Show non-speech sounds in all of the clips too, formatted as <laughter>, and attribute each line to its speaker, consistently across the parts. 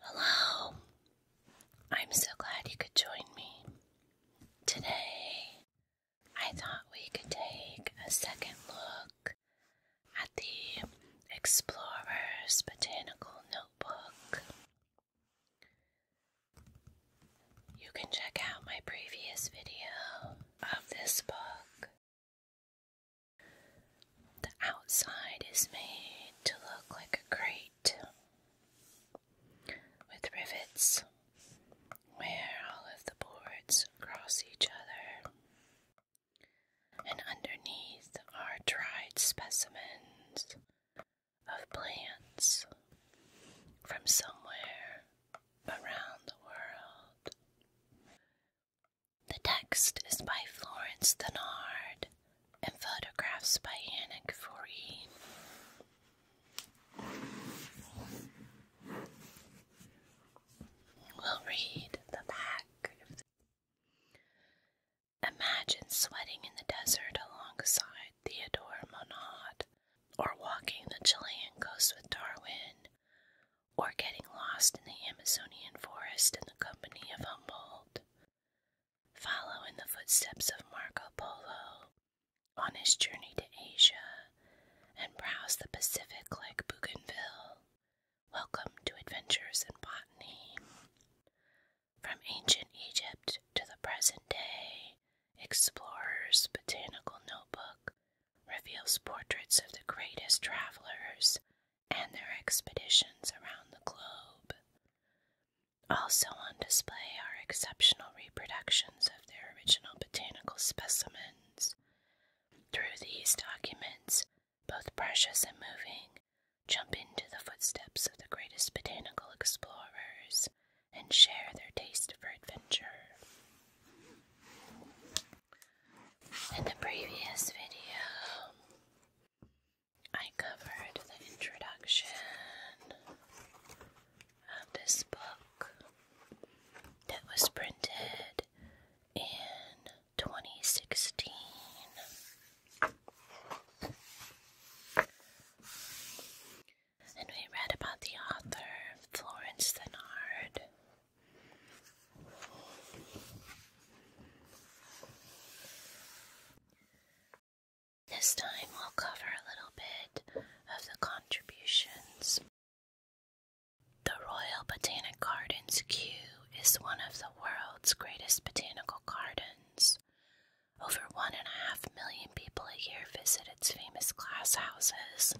Speaker 1: Hello. I'm so glad you could join me. Today, I thought we could take a second look at the Explorer's Botanical Notebook. You can check out my previous video of this book the outside is made to look like a crate with rivets where all of the boards cross each other, and underneath are dried specimens of plants from somewhere around the world. The text is by Florence Thenard and photographs by Anna Gavori. We'll read the back. Imagine sweating in the desert alongside Theodore Monod, or walking the Chilean coast with Darwin, or getting lost in the Amazonian forest in the company of Humboldt. Follow in the footsteps of Marco Polo on his journey to Asia and browse the Pacific like Bougainville. Welcome to Adventures in Botany. From ancient Egypt to the present day, Explorer's Botanical Notebook reveals portraits of the greatest travelers and their expeditions around the globe. Also on display are exceptional reproductions of their original botanical specimens. Through these documents, both precious and moving, jump into the footsteps of the greatest botanical explorers and share their taste for adventure. In the previous video, I covered the introduction of this book that was printed in 2016. And we read about the author Florence Thenard. This time we'll cover a little bit of the contributions. The Royal Botanic Gardens Kew is one of the world's greatest botanical gardens. Over one and a half million people a year visit its famous glasshouses,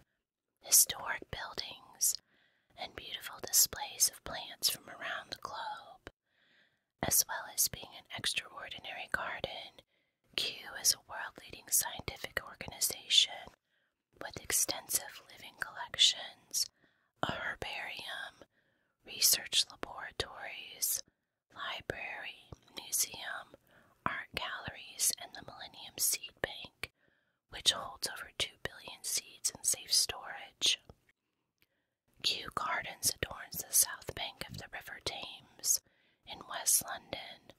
Speaker 1: historic buildings, and beautiful displays of plants from around the globe as well as being an extraordinary garden. Kew is a world leading scientific organization with extensive living collections, a herbarium, research laboratories, library, museum, art galleries, and the Millennium Seed Bank, which holds over 2 billion seeds in safe storage. Kew Gardens adorns the south bank of the River Thames in West London.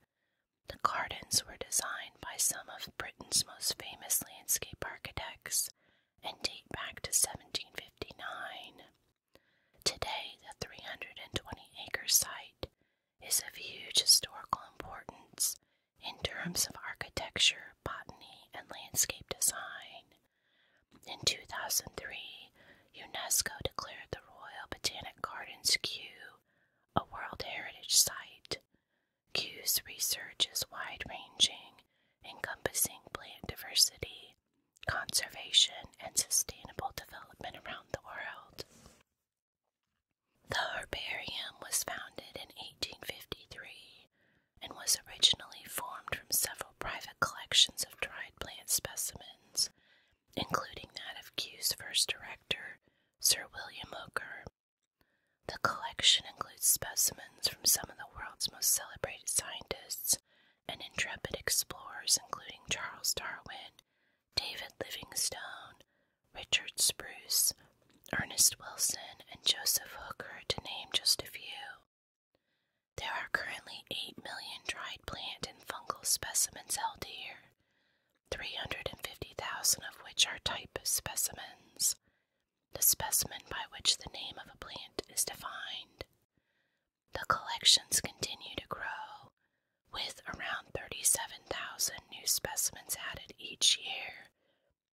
Speaker 1: The gardens were designed by some of Britain's most famous landscape architects and date back to 1759. Today, the 320 acre site is of huge historical importance in terms of architecture, botany, and landscape design. In 2003, UNESCO declared the Royal Botanic Gardens Kew a World Heritage Site. Kew's research is wide ranging, encompassing plant diversity, conservation, and sustainable development around the world. The herbarium was founded in 1853 and was originally formed from several private collections of dried plant specimens, including that of Kew's first director, Sir William Hooker. The collection includes specimens from some of the world's most celebrated scientists and intrepid explorers, including Charles Darwin, David Livingstone, Richard Spruce, Ernest Wilson, and Joseph Hooker, to name just a few. There are currently 8 million dried plant and fungal specimens held here, 350,000 of which are type specimens, the specimen by which the name of a plant is defined. The collections continue to grow, with around 37,000 new specimens added each year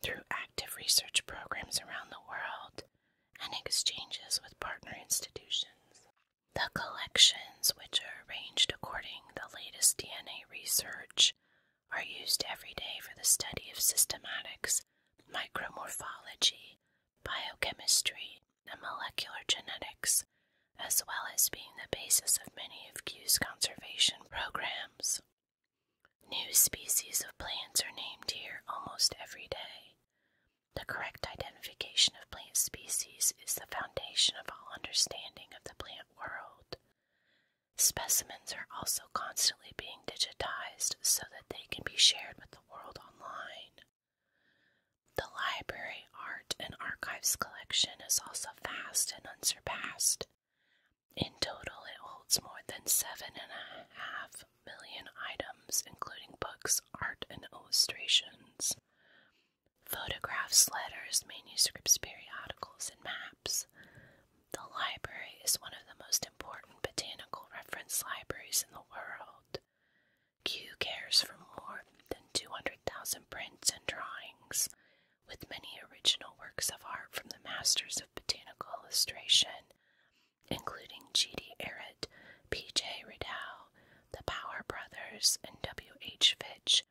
Speaker 1: through active research programs around the world and exchanges with partner institutions. The collections, which are arranged according to the latest DNA research, are used every day for the study of systematics, micromorphology, biochemistry, and molecular genetics, as well as being the basis of many of Q's conservation programs. New species of plants are named here almost every day. The correct identification of plant species is the foundation of all understanding of the plant world. Specimens are also constantly being digitized so that they can be shared with the world online. The library, art, and archives collection is also vast and unsurpassed. In total, it holds more than seven and a half million items, including books, art, and illustrations, photographs, letters, manuscripts, periodicals, and maps. The library is one of the most important botanical reference libraries in the world. Kew cares for more than 200,000 prints and drawings, with many original works of art from the masters of botanical illustration including G.D. Arrett, P.J. Ridow, the Power Brothers, and W.H. Fitch,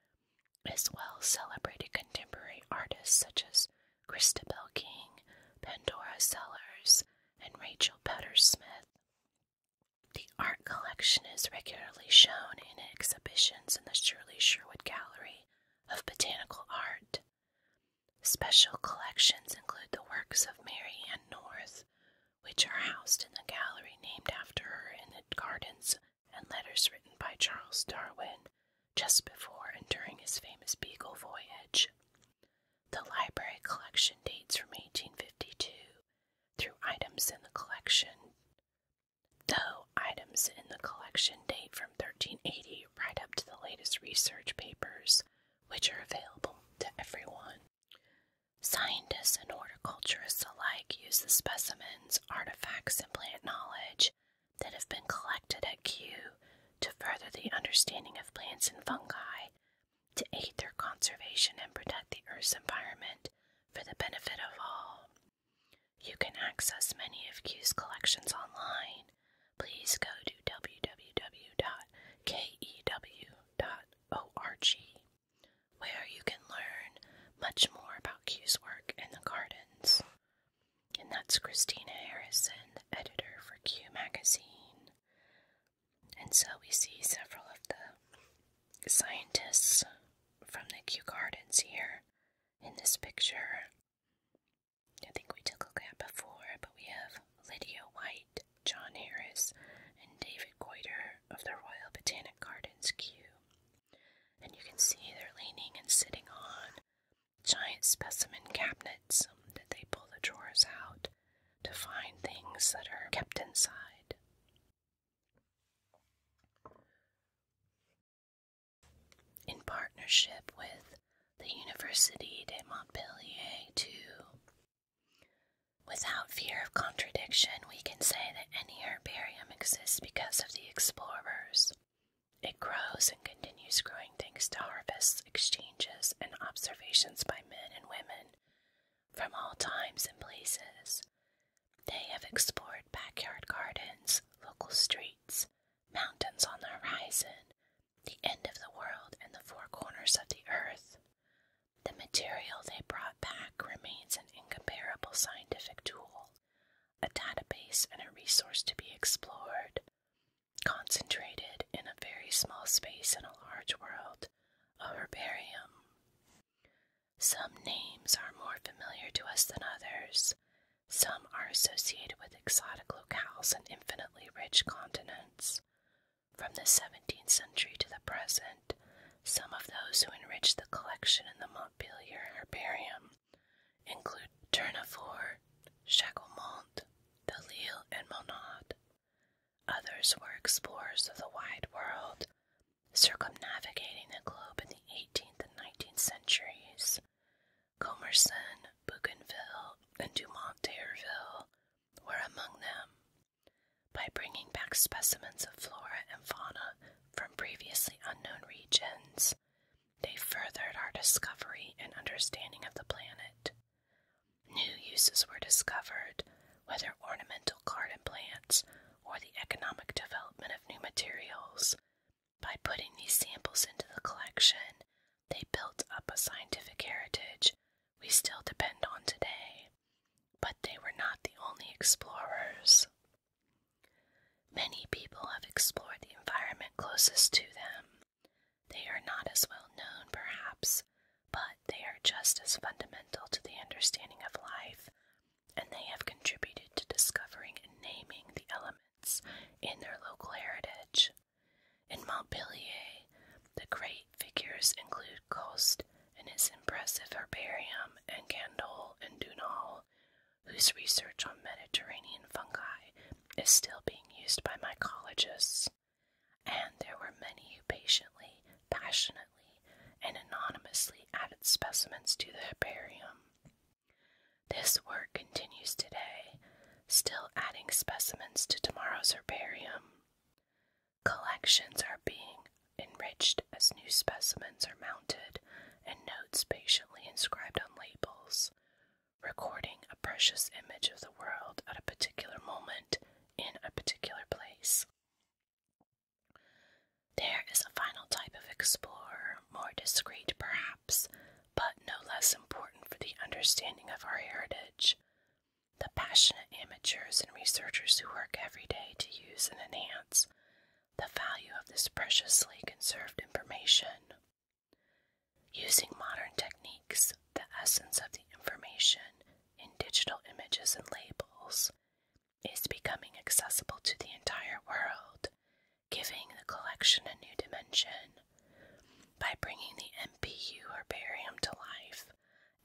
Speaker 1: as well as celebrated contemporary artists such as Christabel King, Pandora Sellers, and Rachel Petter Smith. The art collection is regularly shown in exhibitions in the Shirley Sherwood Gallery of Botanical Art, Special collections include the works of Mary Ann North, which are housed in the gallery named after her in the gardens, and letters written by Charles Darwin just before and during his famous Beagle voyage. The library collection dates from 1852 through items in the collection, though items in the collection date from 1380 right up to the latest research papers which are available to everyone. Scientists and horticulturists alike use the specimens, artifacts, and plant knowledge that have been collected at Kew to further the understanding of plants and fungi, to aid their conservation and protect the Earth's environment for the benefit of all. You can access many of Q's collections online please go to www.kew.org, where you can learn much more about Q's work in the gardens. And that's Christina Harrison, the editor for Q Magazine. And so we see several of the scientists from the Kew Gardens here in this picture. I think we took a look at before, but we have Lydia White, John Harris, and David Goiter of the Royal Botanic Gardens queue. And you can see they're leaning and sitting on giant specimen cabinets um, that they pull the drawers out to find things that are kept inside. In partnership with the Université de Montpellier too. Without fear of contradiction, we can say that any herbarium exists because of the explorers. It grows and continues growing thanks to harvests, exchanges, and observations by men and women from all times and places. They have explored backyard gardens, local streets, mountains on the horizon, the end of the world, and the four corners of the earth. The material they brought back remains an incomparable scientific tool, a database, and a resource to be explored, concentrated in a very small space in a large world, a herbarium. Some names are more familiar to us than others. Some are associated with exotic locales and infinitely rich continents. From the 17th century to the present, some of those who enriched the collection in the Montpellier Herbarium include Tournefort, Chacomont, de and Monod. Others were explorers of the wide world, circumnavigating the globe in the 18th and 19th centuries. Commerson, Bougainville, and Dumont d'Urville were among them. By bringing back specimens of flora and fauna from previously unknown regions, they furthered our discovery and understanding of the planet. New uses were discovered, whether ornamental garden plants or the economic development of new materials. By putting these samples into the collection, they built up a scientific heritage we still depend on today, but they were not the only explorers. Many people have explored the environment closest to them. They are not as well known, perhaps, but they are just as fundamental to the understanding of life, and they have contributed to discovering and naming the elements in their local heritage. In Montpellier, the great figures include Coste and his impressive herbarium, and Gandol and Dunal, whose research on Mediterranean fungi is still being used by mycologists. And there were many who patiently, passionately, and anonymously added specimens to the herbarium. This work continues today, still adding specimens to tomorrow's herbarium. Collections are being enriched as new specimens are mounted and notes patiently inscribed on labels, recording a precious image of the world at a particular moment in a particular place. There is a final type of explorer, more discreet perhaps, but no less important for the understanding of our heritage the passionate amateurs and researchers who work every day to use and enhance the value of this preciously conserved information. Using modern techniques, the essence of the information in digital images and labels is becoming accessible to the entire world, giving the collection a new dimension. By bringing the MPU herbarium to life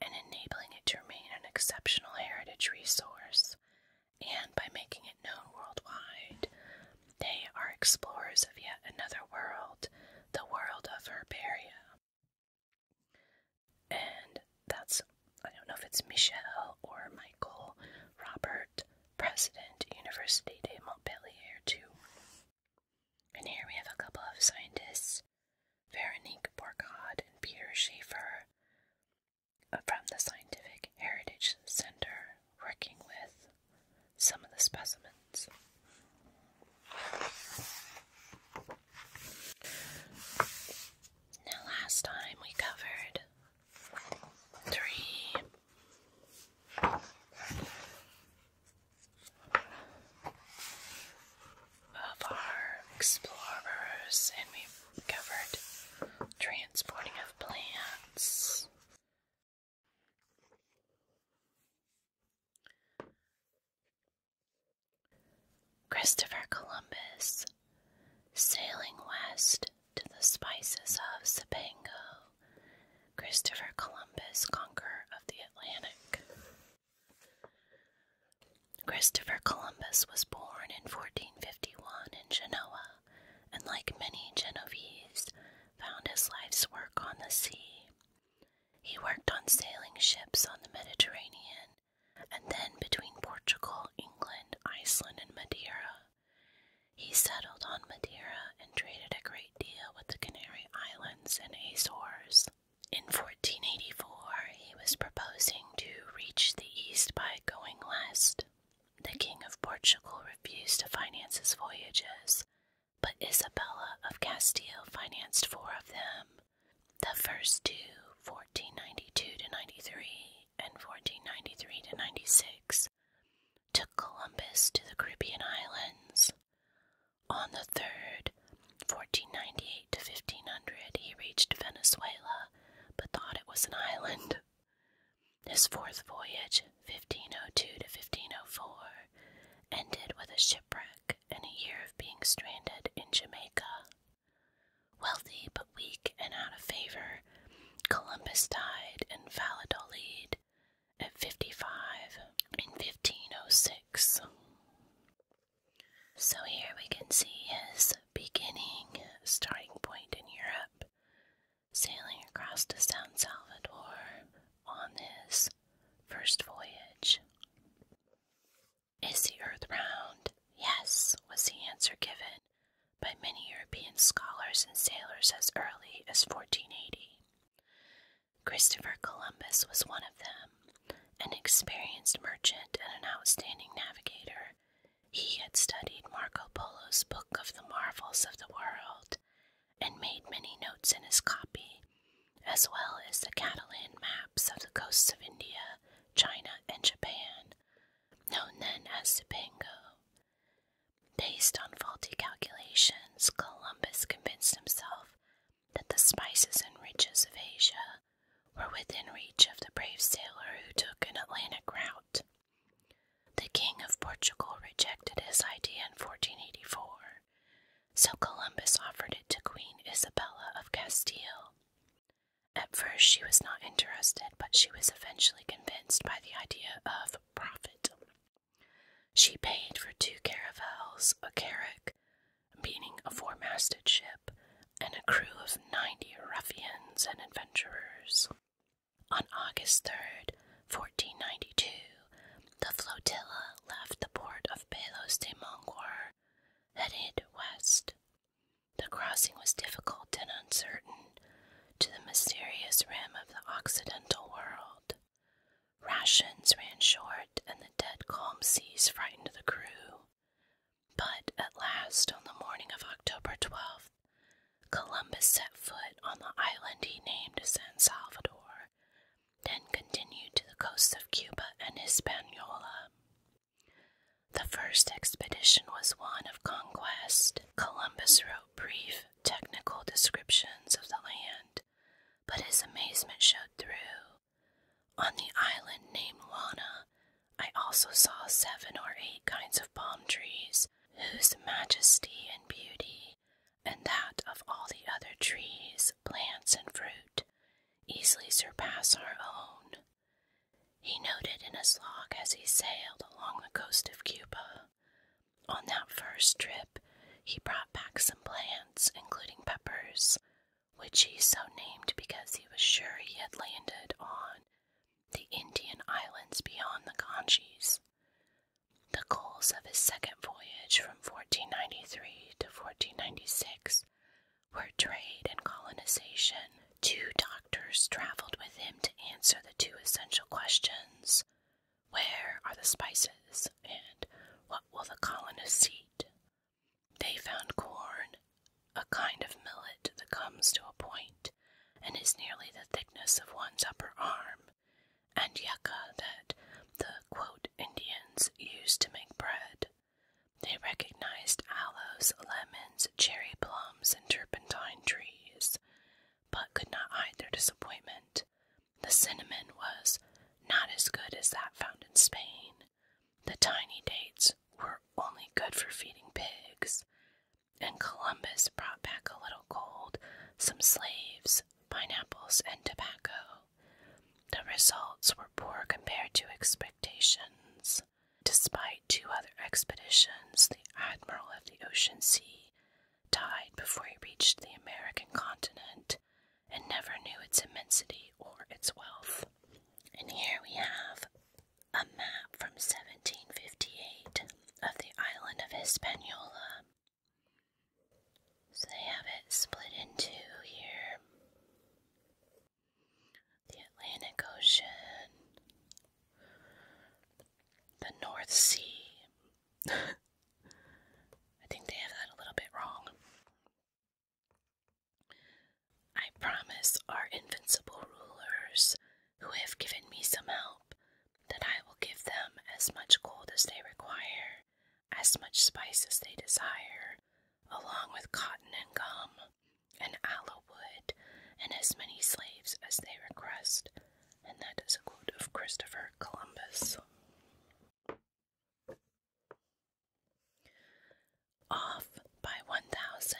Speaker 1: and enabling it to remain an exceptional heritage resource, and by making it known worldwide, they are explorers of yet another world, the world of herbaria. And that's, I don't know if it's Michelle or Michael Robert, President, Université de Montpellier, too. And here we have a couple of scientists, Veronique Borcod and Peter Schaefer uh, from the Scientific Heritage Center, working with some of the specimens. Now, last time we covered three of our explorers, and we covered transporting of plants. Christopher Columbus sailing west to the spices of Cipango Christopher Columbus, conqueror of the Atlantic. Christopher Columbus was born in 1451 in Genoa and, like many Genoese, found his life's work on the sea. He worked on sailing ships on the Mediterranean and then between Portugal, England, Iceland, and Madeira. He settled on Madeira and traded a great deal with the Canary Islands and Azores. In 1484, he was proposing to reach the east by going west. The King of Portugal refused to finance his voyages, but Isabella of Castile financed four of them. The first two, 1492 to 93 and 1493 to 96, took Columbus to the Caribbean islands. On the 3rd, 1498 to 1500, he reached Venezuela but thought it was an island. His fourth voyage, 1502 to 1504, ended with a shipwreck and a year of being stranded in Jamaica. Wealthy but weak and out of favor, Columbus died in Valladolid, at 55 in 1506. So here we can see his beginning starting point in Europe, sailing across to San Salvador on his first voyage. Is the earth round? Yes, was the answer given by many European scholars and sailors as early as 1480. Christopher Columbus was one of them, an experienced merchant and an outstanding navigator. He had studied Marco Polo's Book of the Marvels of the World and made many notes in his copy, as well as the Catalan maps of the coasts of India, China, and Japan, known then as Zipango. Based on faulty calculations, Columbus convinced himself that the spices and riches of Asia were within reach of the brave sailor who took an Atlantic route. The king of Portugal rejected his idea in 1484, so Columbus offered it to Queen Isabella of Castile. At first, she was not interested, but she was eventually convinced by the idea of profit. She paid for two caravels, a carrack, meaning a four masted ship, and a crew of ninety ruffians and adventurers. On August 3rd, 1492, the flotilla left the port of Palos de Mongor, headed west. The crossing was difficult and uncertain to the mysterious rim of the Occidental world. Rations ran short, and the dead calm seas frightened the crew. But at last, on the morning of October 12th, Columbus set foot on the island he named San Salvador, then continued to the coasts of Cuba and Hispaniola. The first expedition was one of conquest. Columbus wrote brief, technical descriptions of the land but his amazement showed through. On the island named Lana, I also saw seven or eight kinds of palm trees, whose majesty and beauty, and that of all the other trees, plants, and fruit, easily surpass our own. He noted in his log as he sailed along the coast of Cuba. On that first trip, he brought brought back some plants, including peppers, which he so named because he was sure he had landed on the Indian islands beyond the Ganges. The goals of his second voyage from 1493 to 1496 were trade and colonization. Two doctors traveled with him to answer the two essential questions where are the spices, and what will the colonists see they found corn, a kind of millet that comes to a point and is nearly the thickness of one's upper arm, and yucca that the Indians used to make bread. They recognized aloes, lemons, cherry plums, and turpentine trees, but could not hide their disappointment the cinnamon was not as good as that found in Spain. The tiny dates were only good for feeding pigs. And Columbus brought back a little gold, some slaves, pineapples, and tobacco. The results were poor compared to expectations. Despite two other expeditions, the admiral of the Ocean Sea died before he reached the American continent, and never knew its immensity or its wealth. And here we have a map from 1758 of the island of Hispaniola. So they have it split in two here the Atlantic Ocean, the North Sea. <laughs> I think they have that a little bit wrong. I promise our invincible rulers who have given me some help that I will give them as much gold as they require, as much spice as they desire, along with cotton and gum and aloewood, and as many slaves as they request. And that is a quote of Christopher Columbus. Off by 1,000,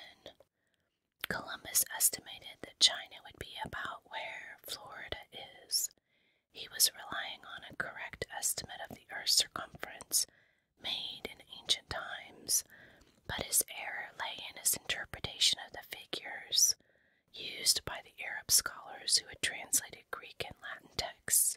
Speaker 1: Columbus estimated that China would be about where Florida is. He was relying on a correct estimate of the Earth's circumference made in ancient times, but his error lay in his interpretation of the figures used by the Arab scholars who had translated Greek and Latin texts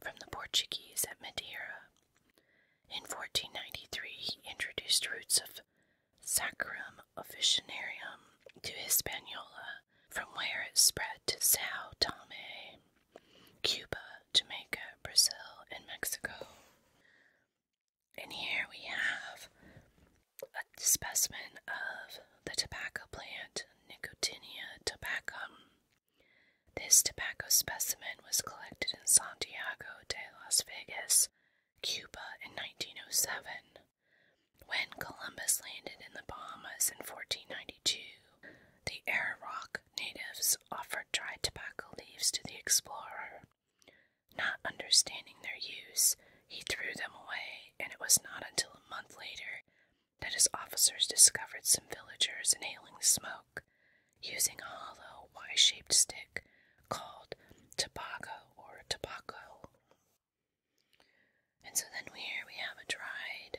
Speaker 1: from the Portuguese at Madeira. In 1493, he introduced roots of Saccharum officinarium to Hispaniola, from where it spread to Sao Tome, Cuba, Jamaica, Brazil, and Mexico. And here we have a specimen of the tobacco plant Nicotinia tabacum*. This tobacco specimen was collected in Santiago de Las Vegas, Cuba, in 1907. When Columbus landed in the Bahamas in 1492, the Ararock natives offered dried tobacco leaves to the explorer. Not understanding their use, he threw them away, and it was not until a month later that his officers discovered some villagers inhaling smoke using a hollow Y shaped stick called tobacco or tobacco. And so then we, here we have a dried,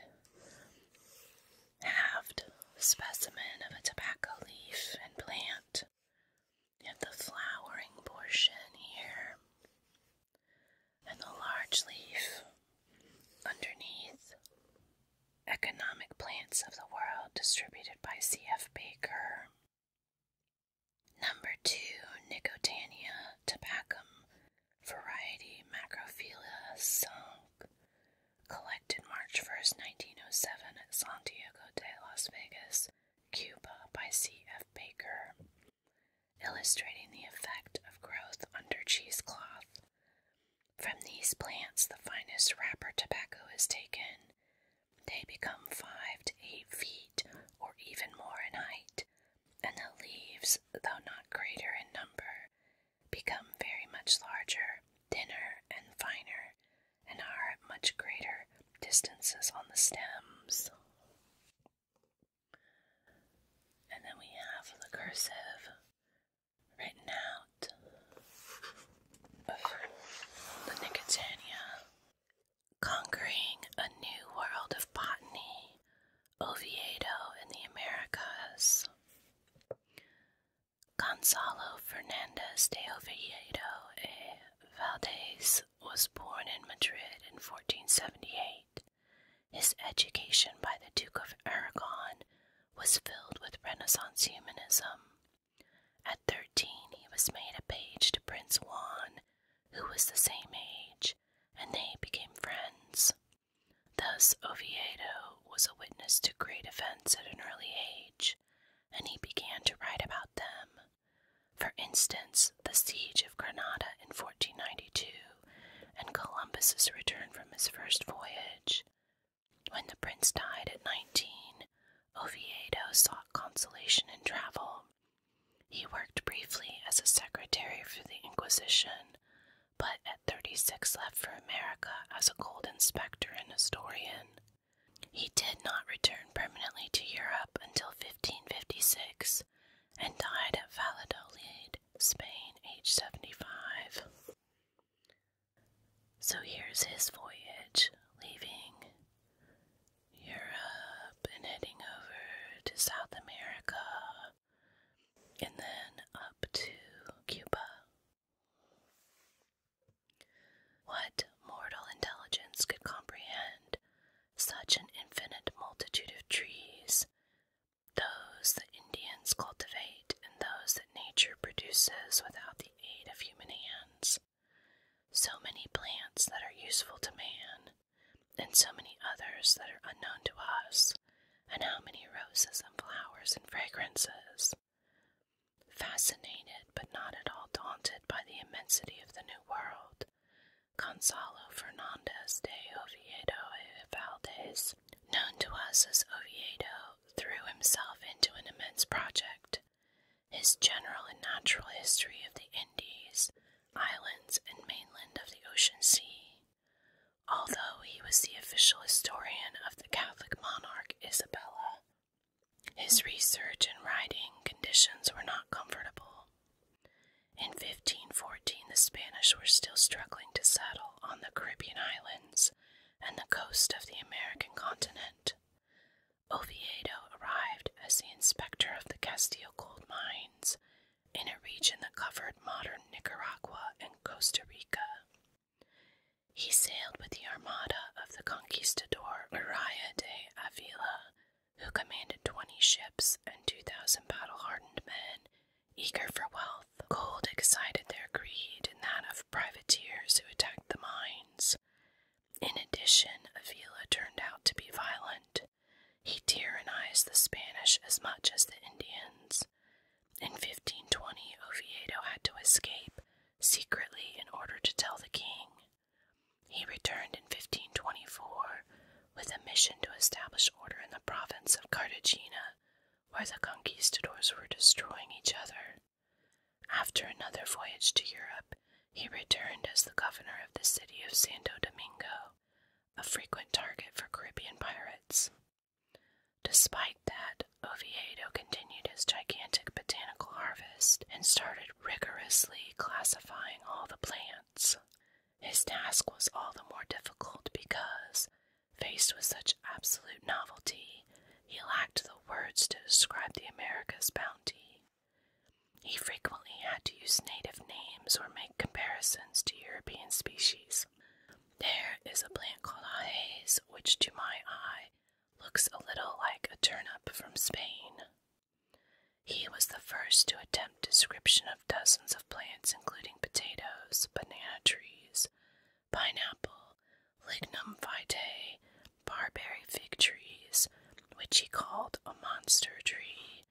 Speaker 1: halved specimen of a tobacco leaf and plant. You have the flowering portion here and the large leaf underneath. Economic Plants of the World, distributed by C.F. Baker. Number 2, Nicotiana tabacum, variety Macrophylla sunk, collected March 1st, 1907 at Santiago de Las Vegas, Cuba, by C.F. Baker, illustrating the effect of growth under cheesecloth. From these plants, the finest wrapper tobacco is taken. They become five to eight feet or even more in height, and the leaves, though not greater in number, become very much larger, thinner, and finer, and are at much greater distances on the stems. And then we have the cursive written out the Nicotiana, conquering a new world of botany, Oviedo in the Americas. Gonzalo Fernandez de Oviedo e eh, Valdez was born in Madrid in 1478 his education by the Duke of Aragon was filled with Renaissance humanism. At thirteen, he was made a page to Prince Juan, who was the same age, and they became friends. Thus, Oviedo was a witness to great events at an early age, and he began to write about them. For instance, the siege of Granada in 1492 and Columbus's return from his first voyage. When the prince died at nineteen, Oviedo sought consolation in travel. He worked briefly as a secretary for the Inquisition, but at thirty six left for America as a gold inspector and historian. He did not return permanently to Europe until 1556 and died at Valladolid Spain, age 75. So here's his voyage, leaving Europe and heading over to South America and then up to Cuba. What mortal intelligence could comprehend such an infinite multitude of trees, those that Indians cultivate and those that nature produces without the aid of human hands. So many plants that are useful to man, and so many others that are unknown to us, and how many roses and flowers and fragrances. Fascinated but not at all daunted by the immensity of the New World, Gonzalo Fernandez de Oviedo y Valdez known to us as Oviedo, threw himself into an immense project. His general and natural history of the Indies, islands, and mainland of the Ocean Sea. Although he was the official historian of the Catholic monarch Isabella, his research and writing conditions were not comfortable. In 1514, the Spanish were still struggling to settle on the Caribbean islands and the coast of the American continent. Oviedo arrived as the inspector of the Castile gold mines in a region that covered modern Nicaragua and Costa Rica. He sailed with the armada of the conquistador Maria de Avila, who commanded 20 ships and 2,000 battle hardened men eager for wealth. Gold excited their greed and that of privateers who attacked the mines. In addition, Avila turned out to be violent. He tyrannized the Spanish as much as the Indians. In 1520, Oviedo had to escape secretly in order to tell the king. He returned in 1524 with a mission to establish order in the province of Cartagena, where the conquistadors were destroying each other. After another voyage to Europe, he returned as the governor of the city of Santo Domingo, a frequent target for Caribbean pirates. Despite that, Oviedo continued his gigantic botanical harvest and started rigorously classifying all the plants. His task was all the more difficult because, Faced with such absolute novelty, he lacked the words to describe the America's bounty. He frequently had to use native names or make comparisons to European species. There is a plant called ajes, which to my eye looks a little like a turnip from Spain. He was the first to attempt description of dozens of plants, including potatoes, banana trees, pineapple, lignum vitae, barberry fig trees, which he called a monster tree,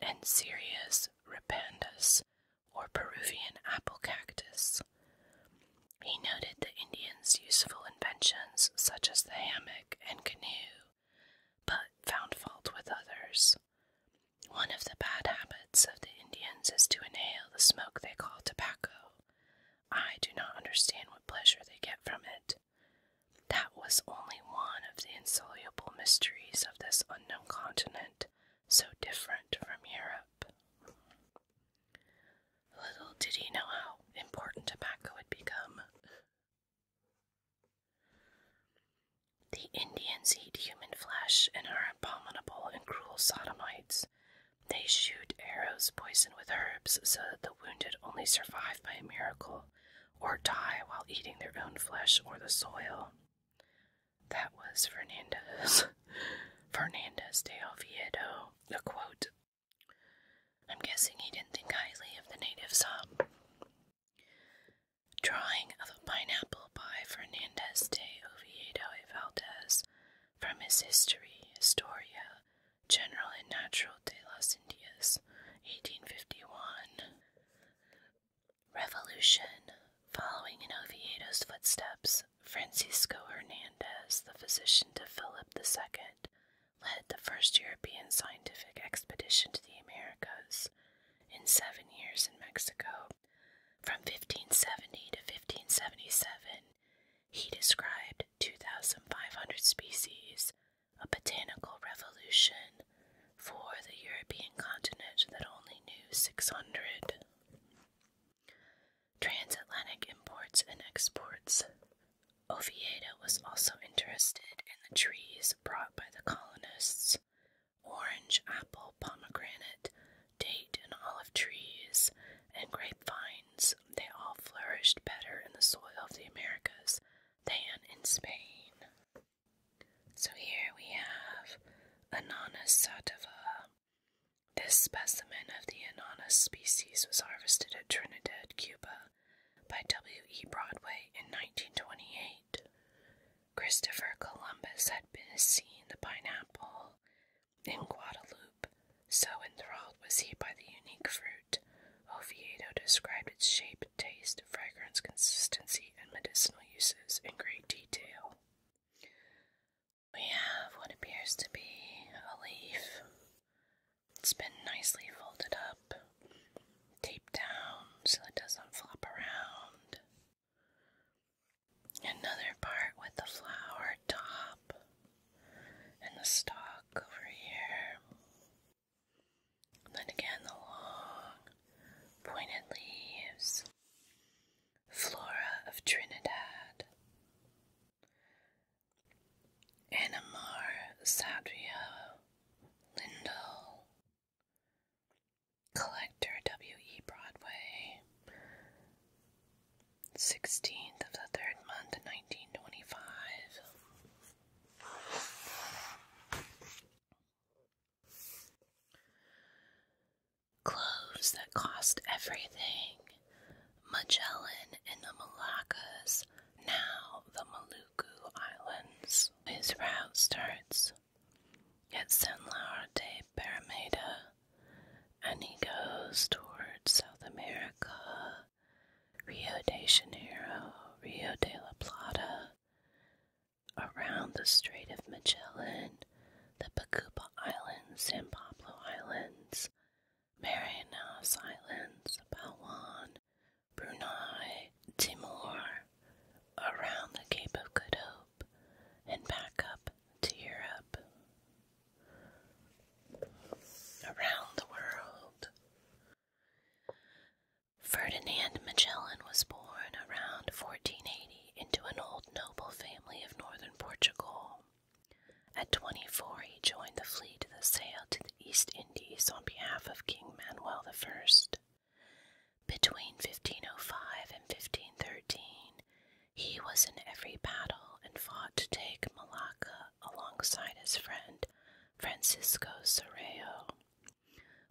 Speaker 1: and Sirius repandus, or Peruvian apple cactus. He noted the Indians' useful inventions such as the hammock and canoe, but found fault with others. One of the bad habits of the Indians is to inhale the smoke they call tobacco. I do not understand what pleasure they get from it. That was only one of the insoluble mysteries of this unknown continent, so different from Europe. Little did he know how important tobacco had become. The Indians eat human flesh and are abominable and cruel sodomites. They shoot arrows poisoned with herbs so that the wounded only survive by a miracle or die while eating their own flesh or the soil. That was Fernandez. <laughs> Fernandez de Oviedo, a quote. I'm guessing he didn't think highly of the natives, huh? Drawing of a pineapple by Fernandez de Oviedo y Valdez from his History, Historia General y Natural de las Indias, 1851. Revolution. Following in Oviedo's footsteps, Francisco Hernandez, the physician to Philip II, led the first European scientific expedition to the Americas in seven years in Mexico. From 1570 to 1577, he described 2,500 species, a botanical revolution for the European continent that only knew 600. Transatlantic imports and exports. Oviedo was also interested in the trees brought by the colonists orange, apple, pomegranate, date, and olive trees, and grapevines, they all flourished better in the soil of the Americas than in Spain. So here we have Ananas sativa. This specimen of the Ananas species was harvested at Trinidad, Cuba by W. E. Broadway in 1928. Christopher Columbus had been seen the pineapple in Guadeloupe, so enthralled was he by the unique fruit. Oviedo described its shape, taste, fragrance, consistency, and medicinal uses in great detail. We have what appears to be a leaf. It's been nicely folded up, taped down so it doesn't flop around. Another part with the flower top and the stalk over here. then again, the long, pointed leaves. Flora of Trinidad. Anamar Sadria Lindell. Collector W.E. Broadway, 16th of the third month, 1925. Cloves that cost everything. Magellan in the Malaccas, now the Maluku Islands. His route starts Yet San Laura de Parameda, and he goes toward South America, Rio de Janeiro, Rio de la Plata, around the Strait of Magellan, the Pacuba Islands, San Pablo Islands, Marianas Islands, Palawan, Brunei, Timor, around the Cape of Good Hope and back up to Europe. Around the world. Ferdinand Magellan was born around 1480 into an old noble family of northern Portugal. At 24, he joined the fleet that sailed to the East Indies on behalf of King Manuel I. Between 1505 and 1513, he was in every battle and fought to take Malacca alongside his friend Francisco Serrao.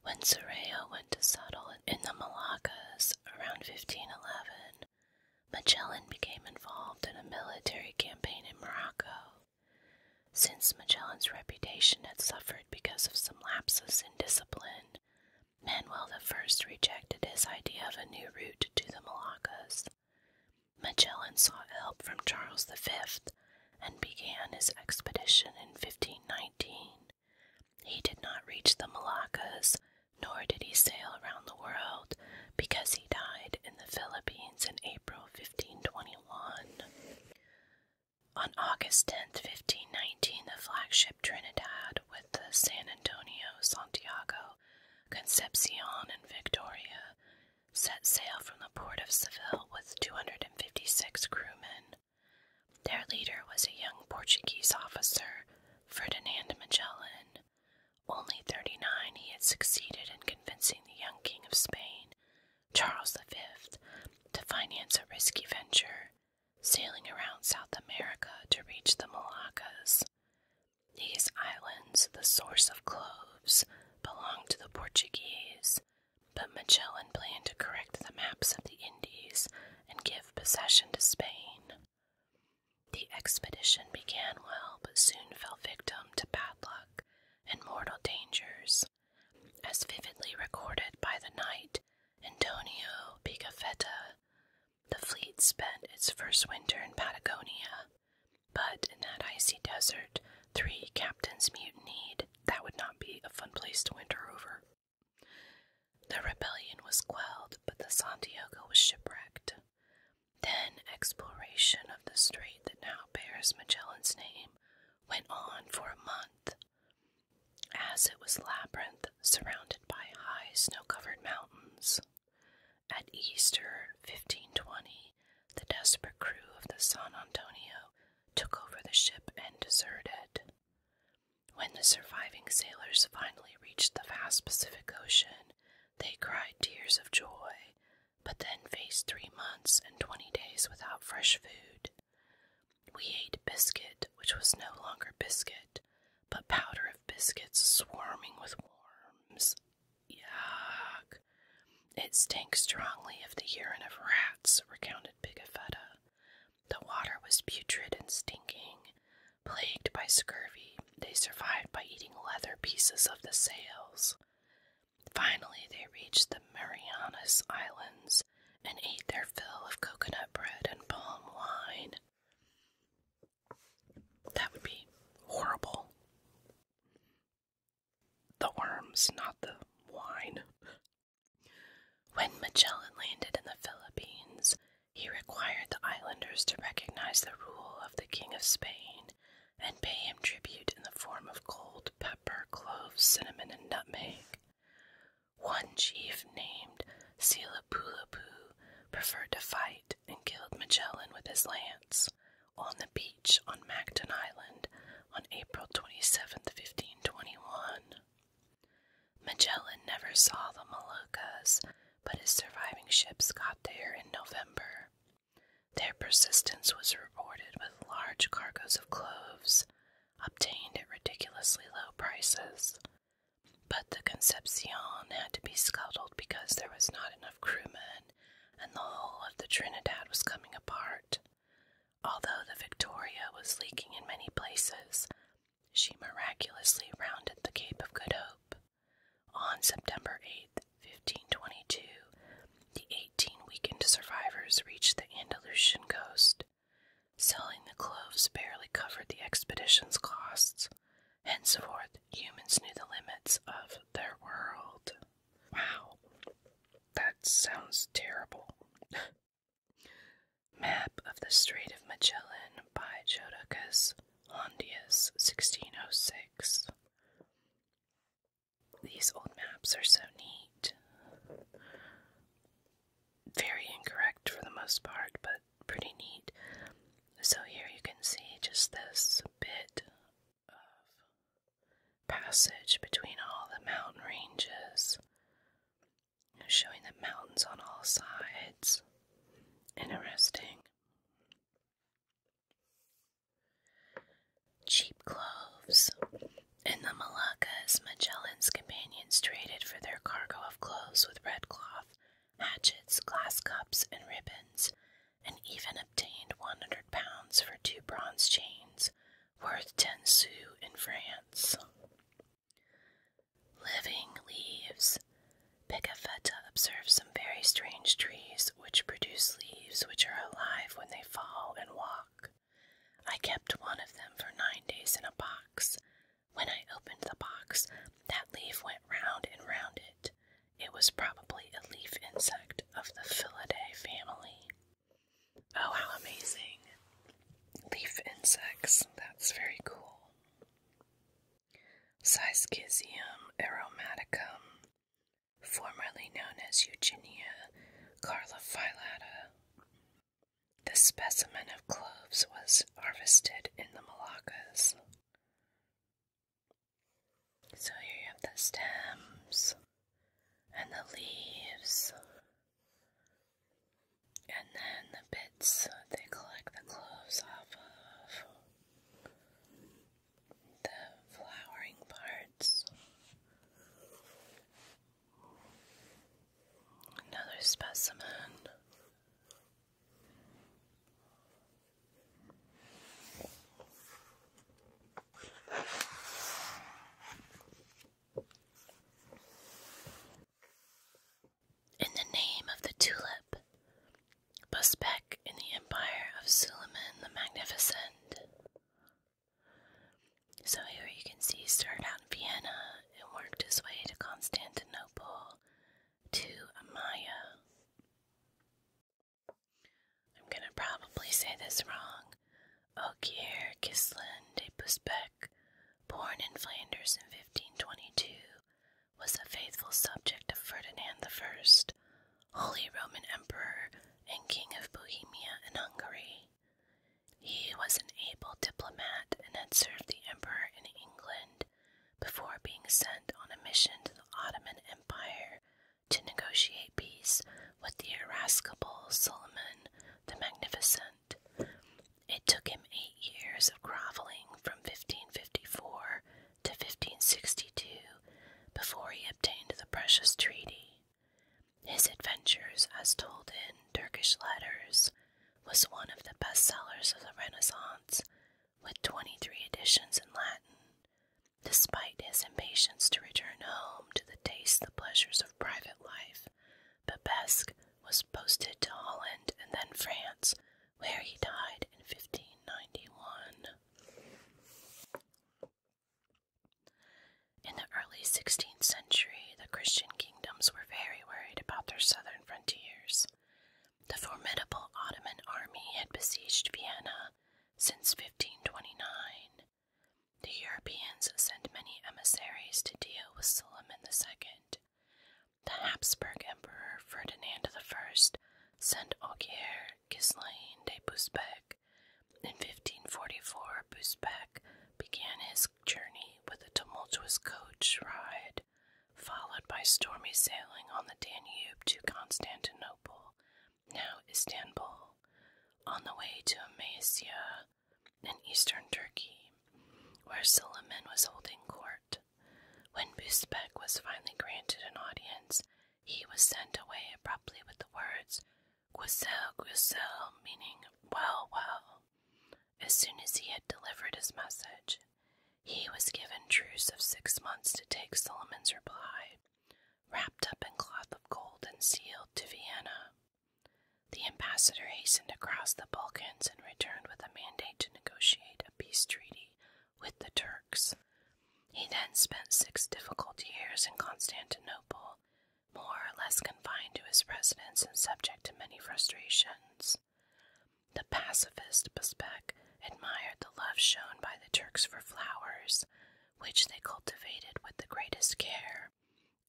Speaker 1: When Serrao went to settle in the Malaccas around 1511, Magellan became involved in a military campaign in Morocco. Since Magellan's reputation had suffered because of some lapses in discipline, Manuel I rejected his idea of a new route to the Moluccas. Magellan sought help from Charles V and began his expedition in 1519. He did not reach the Moluccas, nor did he sail around the world, because he died in the Philippines in April 1521. On August 10, 1519, the flagship Trinidad with the San Antonio, Santiago, Concepcion, and Victoria, set sail from the port of Seville with 256 crewmen. Their leader was a young Portuguese officer, Ferdinand Magellan. Only 39, he had succeeded in convincing the young King of Spain, Charles V, to finance a risky venture, sailing around South America to reach the Moluccas. These islands, the source of cloves, belonged to the Portuguese, but Magellan planned to correct the maps of the Indies and give possession to Spain. The expedition began well, but soon fell victim to bad luck and mortal dangers, as vividly recorded by the knight Antonio Pigafetta, the fleet spent its first winter in Patagonia, but in that icy desert, three captains mutinied. That would not be a fun place to winter over. The rebellion was quelled, but the Santiago was shipwrecked. Then exploration of the strait that now bears Magellan's name went on for a month. As it was labyrinth, surrounded by high snow covered mountains. At Easter 1520, the desperate crew of the San Antonio took over the ship and deserted. When the surviving sailors finally reached the vast Pacific Ocean, they cried tears of joy, but then faced three months and twenty days without fresh food. We ate biscuit, which was no longer biscuit, but powder of biscuits swarming with worms. Yuck. It stinks strongly of the urine of rats, recounted Pigafetta. The water was putrid and stinking. Plagued by scurvy, they survived by eating leather pieces of the sails. Finally, they reached the Marianas Islands and ate their fill of coconut bread and palm wine. That would be horrible. The worms, not the wine. When Magellan landed in the Philippines, he required the islanders to recognize the rule of the King of Spain and pay him tribute in the form of gold, pepper, cloves, cinnamon, and nutmeg. One chief named Silapulapu preferred to fight and killed Magellan with his lance on the beach on Mactan Island on April 27, 1521. Magellan never saw the Moluccas, but his surviving ships got there in November. Their persistence was rewarded with large cargoes of cloves, obtained at ridiculously low prices, but the Concepcion had to be scuttled because there was not enough crewmen and the hull of the Trinidad was coming apart. Although the Victoria was leaking in many places, she miraculously rounded the Cape of Good Hope. On September 8, 1522, the 18 weakened survivors reached the Andalusian coast. Selling the clothes barely covered the expedition's costs, Henceforth, humans knew the limits of their world. Wow, that sounds terrible. <laughs> Map of the Strait of Magellan by Jodocus Hondius, 1606. These old maps are so neat very incorrect for the most part, but pretty neat. So here you can see just this bit of passage between all the mountain ranges, showing the mountains on all sides. Interesting. Cheap cloves. In the Moluccas, Magellan's companions traded for their cargo of cloves with red cloth hatchets, glass cups, and ribbons, and even obtained 100 pounds for two bronze chains worth 10 sous in France. Living leaves. Picafetta observed some very strange trees which produce leaves which are alive when they fall and walk. I kept one of them for nine days in a box, when I opened the box, that leaf went round and round it. It was probably a leaf insect of the Philidae family. Oh, how amazing! Leaf insects. That's very cool. Siskisium aromaticum, formerly known as Eugenia carlophylata. This specimen of cloves was harvested in the Moluccas. So here you have the stems and the leaves, and then the bits they collect the cloves off of, the flowering parts. Another specimen in the name of the tulip, Busbek in the empire of Suleiman the Magnificent. So here you can see he started out in Vienna and worked his way to Constantinople to Amaya. I'm gonna probably say this wrong. Ogier Gislin de Busbecq, born in Flanders in 1522, was a faithful subject of Ferdinand I, Holy Roman Emperor and King of Bohemia and Hungary. He was an able diplomat and had served the Emperor in England before being sent on a mission to the Ottoman Empire to negotiate peace with the irascible Suleiman the Magnificent. It took him eight years of groveling from 1554 to 1562 before he obtained the precious treaty. His adventures, as told in Turkish letters, was one of the best sellers of the Renaissance, with 23 editions in Latin. Despite his impatience to return home to taste the pleasures of private life, Babesque was posted to Holland and then France, where he died in 1591. In the early 16th century, the Christian kingdoms were very worried about their southern frontiers. The formidable Ottoman army had besieged Vienna since 1529. The Europeans sent many emissaries to deal with Suleiman II. The Habsburg Emperor Ferdinand I sent Augier Ghislain de Busbecq. In 1544, Busbecq began his journey with a tumultuous coach ride followed by stormy sailing on the Danube to Constantinople, now Istanbul, on the way to Amasia in eastern Turkey, where Suleiman was holding court. When Busbek was finally granted an audience, he was sent away abruptly with the words, Guisel, Guisel, meaning well, well. As soon as he had delivered his message, he was given truce of six months to take Solomon's reply, wrapped up in cloth of gold and sealed to Vienna. The ambassador hastened across the Balkans and returned with a mandate to negotiate a peace treaty with the Turks. He then spent six difficult years in Constantinople, more or less confined to his residence and subject to many frustrations. The pacifist Bezbek admired the love shown by the Turks for flowers, which they cultivated with the greatest care,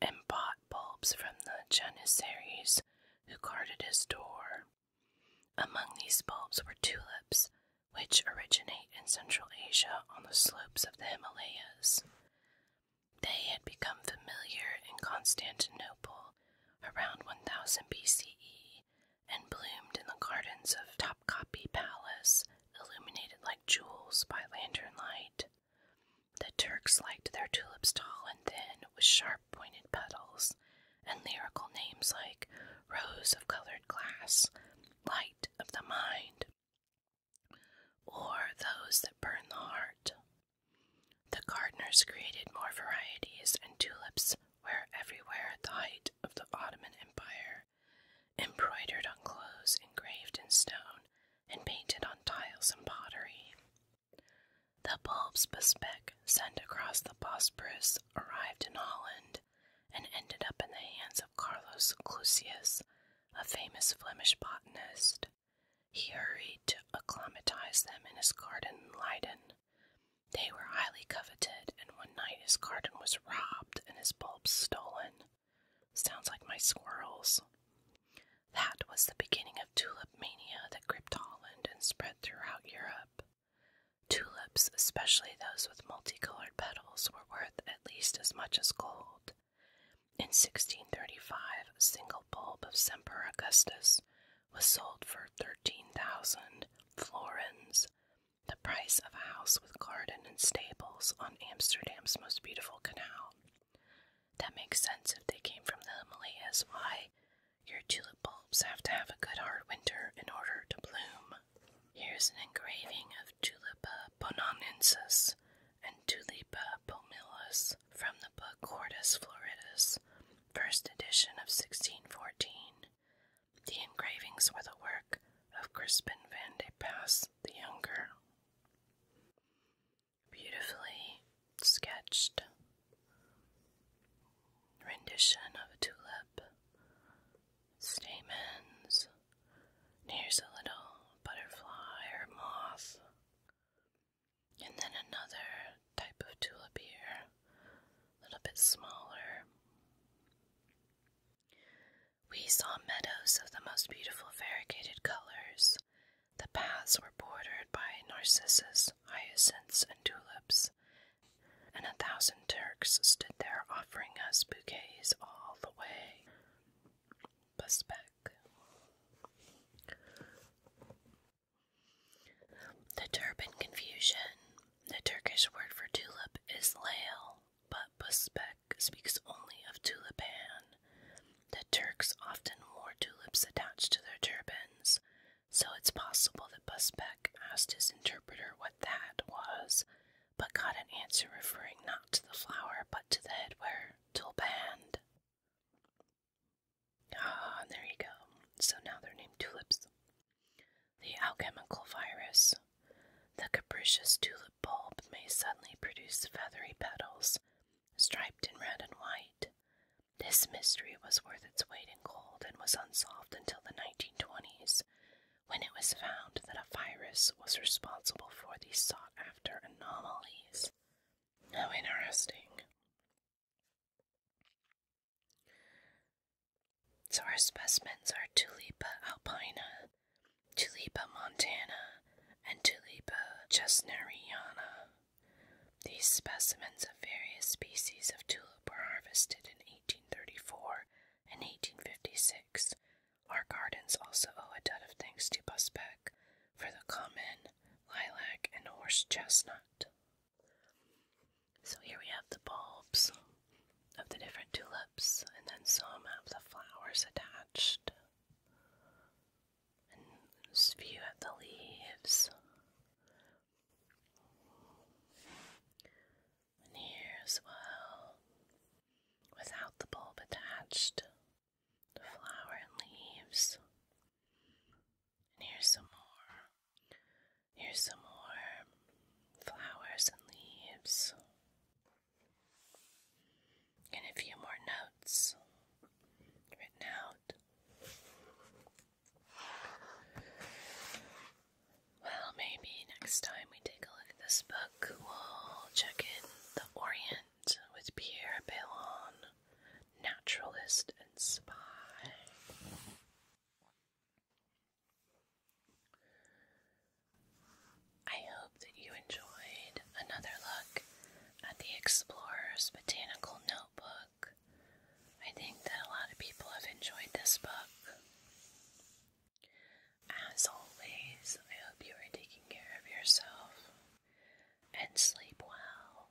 Speaker 1: and bought bulbs from the Janissaries who guarded his door. Among these bulbs were tulips, which originate in Central Asia on the slopes of the Himalayas. They had become familiar in Constantinople around 1000 BCE and bloomed in the gardens of Topkapi Palace, illuminated like jewels by lantern light. The Turks liked their tulips tall and thin, with sharp pointed petals, and lyrical names like Rose of Colored Glass, Light of the Mind, or Those that Burn the Heart. The gardeners created more varieties, and tulips were everywhere at the height of the Ottoman Empire, embroidered on clothes, engraved in stone, and painted on tiles and pottery. The bulbs Busbek sent across the Bosporus arrived in Holland and ended up in the hands of Carlos Clusius, a famous Flemish botanist. He hurried to acclimatize them in his garden in Leiden, they were highly coveted, and one night his garden was robbed and his bulbs stolen. Sounds like my squirrels. That was the beginning of tulip mania that gripped Holland and spread throughout Europe. Tulips, especially those with multicolored petals, were worth at least as much as gold. In 1635, a single bulb of Semper Augustus was sold for 13,000 florins, the price of a house with garden and stables on Amsterdam's most beautiful canal. That makes sense if they came from the Himalayas. Why? Your tulip bulbs have to have a good hard winter in order to bloom. Here's an engraving of Tulipa bonanensis and Tulipa palmillus from the book Hortus Floridus first edition of 1614. The engravings were the work of Crispin van de Pass the Younger. Beautifully sketched rendition of a tulip, stamens, here's a little butterfly or moth, and then another type of tulip here, a little bit smaller. We saw meadows of the most beautiful variegated colors. The paths were bordered by narcissus, hyacinths, and tulips, and a thousand Turks stood there offering us bouquets all the way. Busbeck. The turban confusion. The Turkish word for tulip is lail, but Buspek speaks only of tulipan. The Turks often wore tulips attached to their turbans, so it's possible that Buspek asked his interpreter what that was, but got an answer referring not to the flower but to the headwear, tulband. Ah, there you go. So now they're named tulips. The alchemical virus. The capricious tulip bulb may suddenly produce feathery petals, striped in red and white. This mystery was worth its weight in gold and was unsolved until the 1920s, when it was found that a virus was responsible for these sought after anomalies. How interesting. So our specimens are Tulipa alpina, Tulipa montana, and Tulipa chesneriana. These specimens of various species of tulip were harvested in 1834 and 1856. Our gardens also owe a debt of thanks to Busbeck for the common lilac and horse chestnut. So here we have the bulbs of the different tulips, and then some have the flowers attached, and just few have the leaves. And here as well, without the bulb attached, the flower and leaves. And here's some more. Here's some more flowers and leaves. And a few more notes written out. Well, maybe next time we take a look at this book, we'll check in The Orient with Pierre Baillon, naturalist and spy. I hope that you enjoyed another look at the Explorer's Botanical Notebook. I think that a lot of people have enjoyed this book. As always, I hope you are taking care of yourself and sleep well.